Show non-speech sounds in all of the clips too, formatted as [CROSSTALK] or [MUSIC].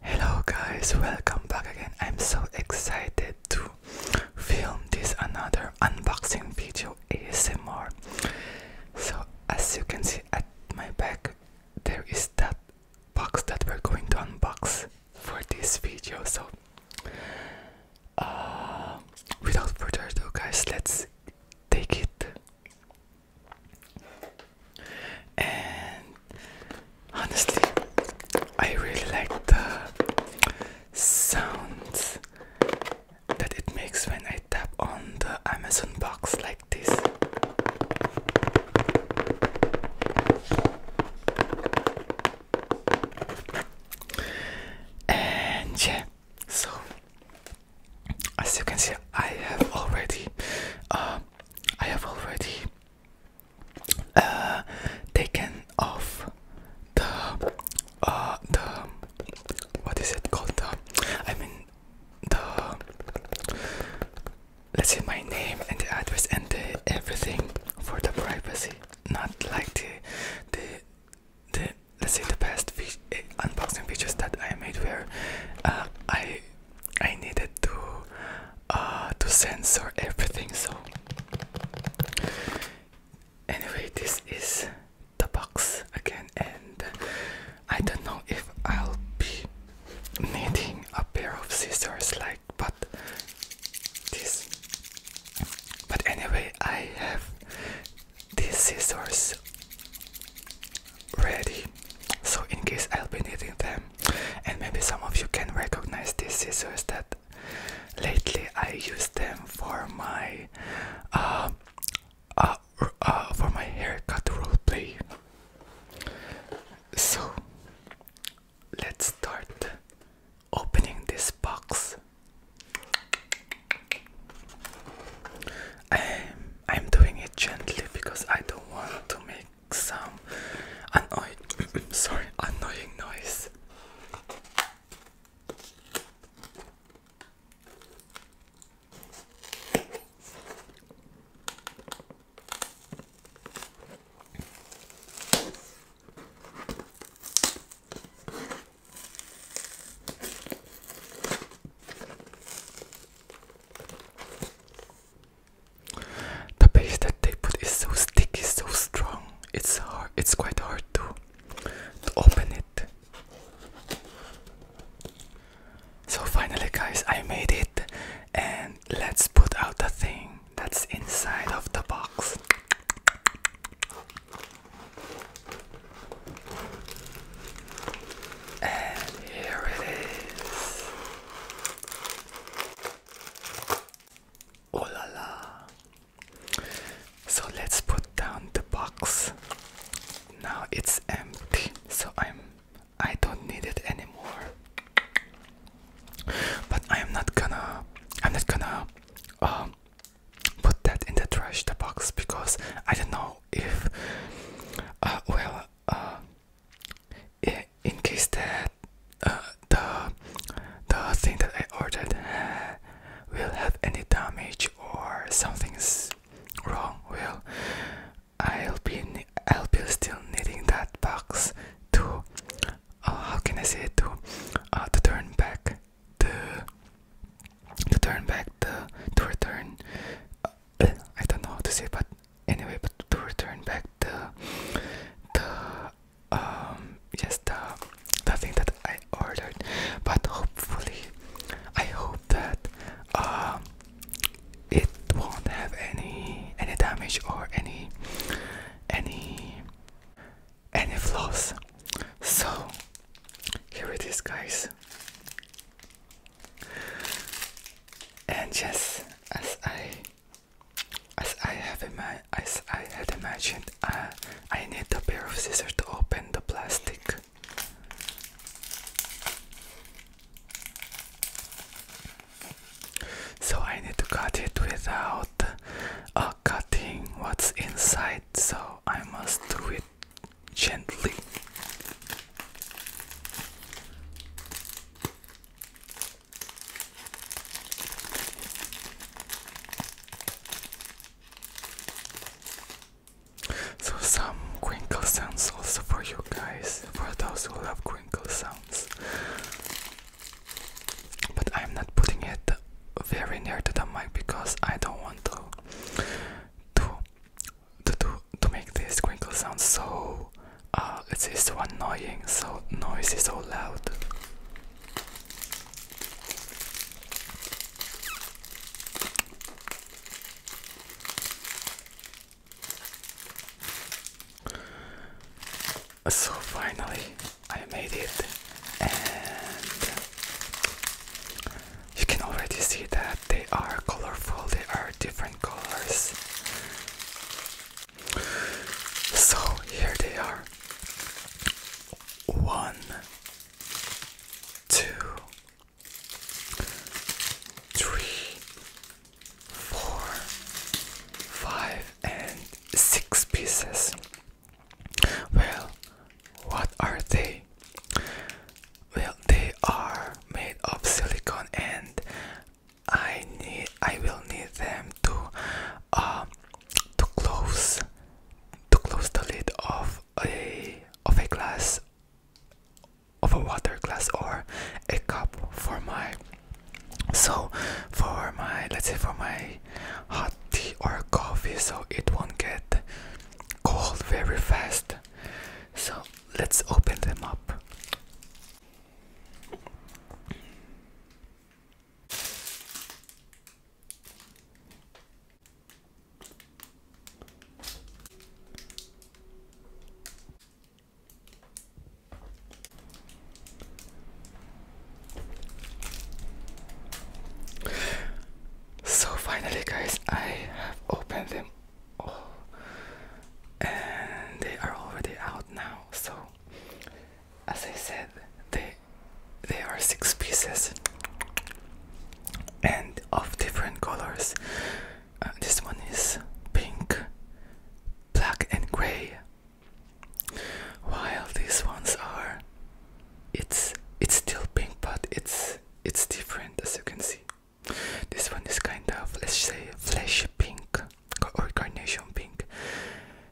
Hello guys, welcome back again. I'm so excited to film this another unboxing video ASMR. So as you can see at my back there is that box that we're going to unbox for this video. So uh, without further ado, guys, let's take it. And honestly, I really like the sounds that it makes when I tap on the Amazon box like this. And yeah, so as you can see, I have already, um, I have already uh, taken off the uh, the what is it called? The, I mean the let's say my name and the address and everything for the privacy, not like the the the let's say the past eh, unboxing videos that I made where uh, I I needed to uh, to censor everything. So anyway, this is the box again, and I don't know if I'll be needing a pair of scissors like but this but anyway I have these scissors ready so in case I'll be needing them and maybe some of you can recognize these scissors that lately I use them for my uh, uh, uh, for my haircut roleplay so let's start opening this box. I'm, um, I'm doing it gently because I don't want to make some annoying, [COUGHS] sorry, annoying noise. The paste that they put is so sticky, so strong. It's hard. It's quite hard to to open it. So finally, guys, I made it, and let's put out the thing that's inside of the box. And here it is. Oh la la. So let's put down the box. Now it's empty, so I'm I don't need it anymore but I am not gonna I'm not gonna um, put that in the trash the box because I don't know if uh, well uh, in case that uh, the the thing that I ordered will have any damage or something's wrong well I'll be I'll be still needing that box too. Uh, how can I say it to uh, to turn back the to turn back the to return uh, I don't know how to say but anyway but to return back the the um just the the thing that I ordered but hopefully I hope that um it won't have any any damage or any any any flaws. So here it is, guys. And yes, as I as I have in my as I had imagined, uh, I need a pair of scissors to open the plastic. So I need to cut it without uh, cutting what's inside, so I must do it gently. So some crinkle sounds also for you guys, for those who love crinkle sounds but I'm not putting it very near to the mic because I don't want to to to to, make this crinkle sound so uh it's so annoying, so noisy, so loud. So finally, I made it, and you can already see that they are colorful, they are different colors. So here they are one, two, three, four, five, and six pieces. Well, what are they? Well, they are made of silicone, and I need, I will need them to, uh, to close, to close the lid of a of a glass, of a water glass or a cup for my so for my let's say for my hot tea or coffee so it won't get cold very fast so let's open them up so finally guys I have opened them all and they are already out now so as I said they they are six pieces and of different colors uh, this one is pink black and gray while these ones are, it's it's still pink, but it's it's different as you can see. This one is kind of let's say flesh pink or carnation pink.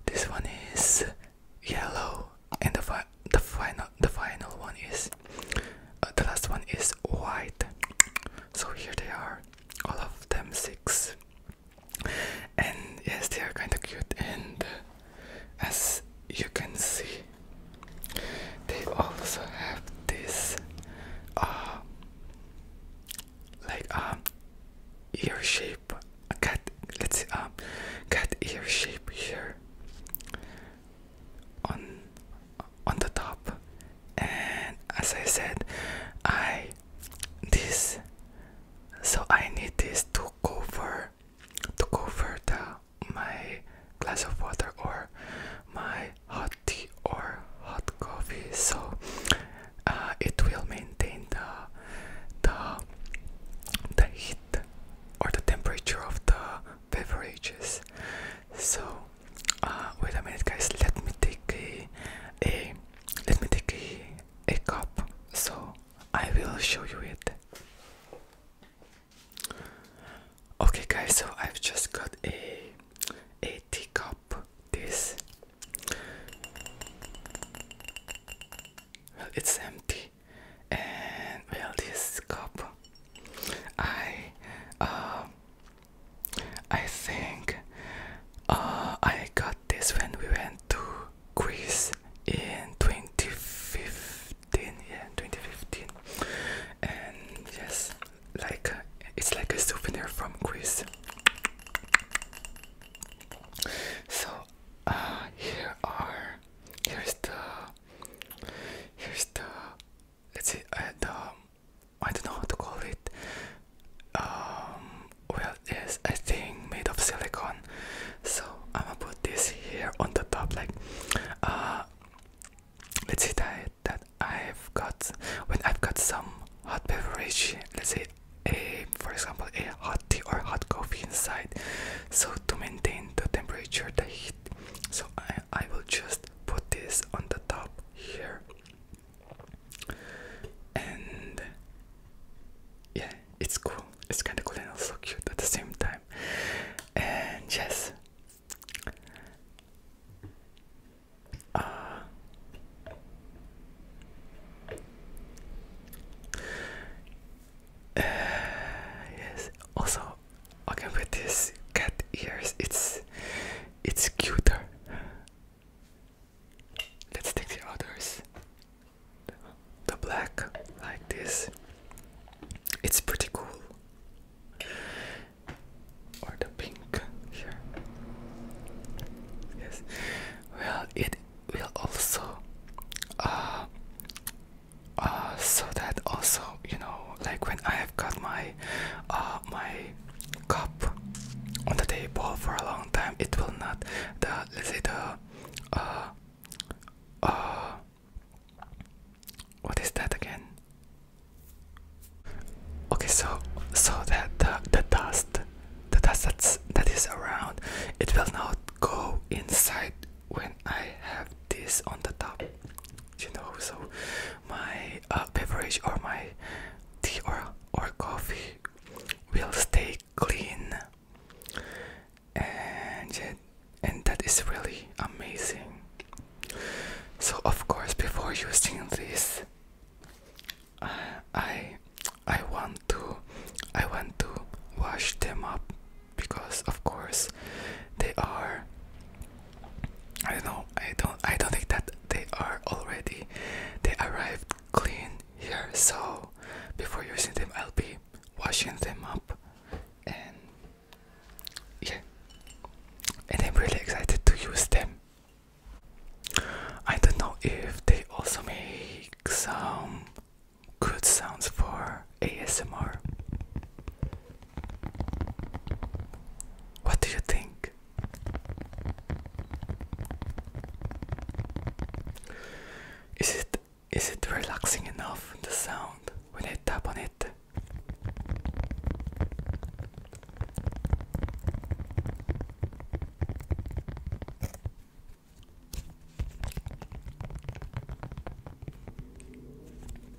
This one is yellow, and the final the final one is uh, the last one is white. So here they are, all of them six and yes they are kind of cute and uh, as you can see they also have this uh, like um ear shape a cat let's see um cat ear shape here on on the top and as I said I this so I need this to cover to cover the my glass of water or my hot tea or hot coffee so uh, it will maintain the the the heat or the temperature of the beverages so uh, wait a minute guys let me take a, a let me take a, a cup so I will show you it. Okay, guys, so I've just got a a cup. This well, it's empty, and well, this cup. I uh, I think uh, I got this when we went to Greece in 2015. Yeah, 2015. And yes, like it's like a souvenir from Greece. So uh, here are here's the here's the let's see uh, the I don't know how to call it. Um, well is a thing made of silicone so I'm gonna put this here on the top like uh, let's say that that I've got when I've got some hot beverage let's say a for example a hot tea or hot coffee inside so to maintain the temperature the heat so I, I will just put this on the top here and yeah, it's cool. It's kind of cool and also cute at the same time. And yes, uh, [SIGHS] yes. Also, okay, with this cat ears, it's it's cuter. Let's take the others the black like this. It's pretty cool. Or the pink here. Yes. Well, it will also uh, uh, so that also you know like when I have got my uh, my cup on the table for a long time it will not the let's say the uh, uh, what is that again? Okay, so so that the, dust, the dust that's that is around, it will not go inside when I have this on the top. You know, so my uh, beverage or my tea or or coffee will stay clean and and that is really amazing so of course before using this i i want to i want to wash them up because of course they are i don't know i don't i don't think that they are already they arrived clean here so before using them I'll be washing them up and yeah and I'm really excited to use them I don't know if they also make some good sounds for ASMR what do you think? Is it is it relaxing enough the sound when I tap on it?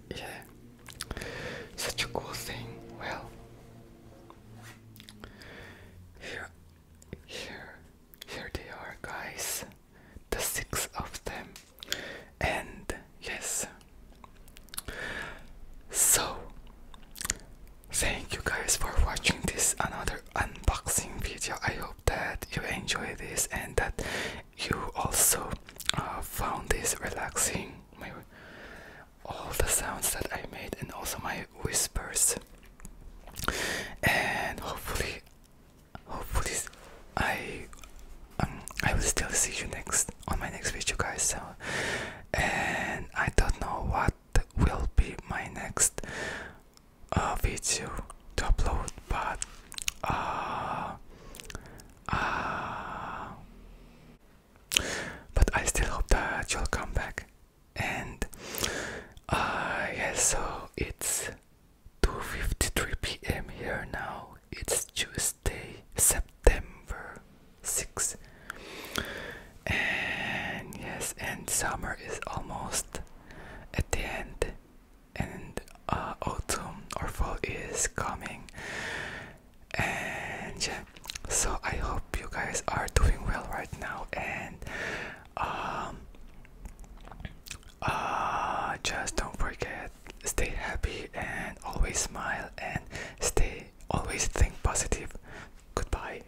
Yeah, such a cool thing. Well, here, here here they are, guys. The six of them. And yes. So, thank you guys for watching this another unboxing video. I hope that you enjoy this and that you also uh, found this relaxing. all the sounds that I made and also my whispers. And hopefully, hopefully I um, I will still see you next on my next video guys so and I don't know what will be my next uh, video to upload but uh, uh, but I still hope that you'll come back and uh, yeah so it's 2.53 p.m here now it's tuesday september 6 and yes and summer is almost at the end and uh, autumn or fall is coming and yeah so i hope you guys are doing well right now and um, uh, just don't forget, stay happy and always smile and stay always think positive. Goodbye.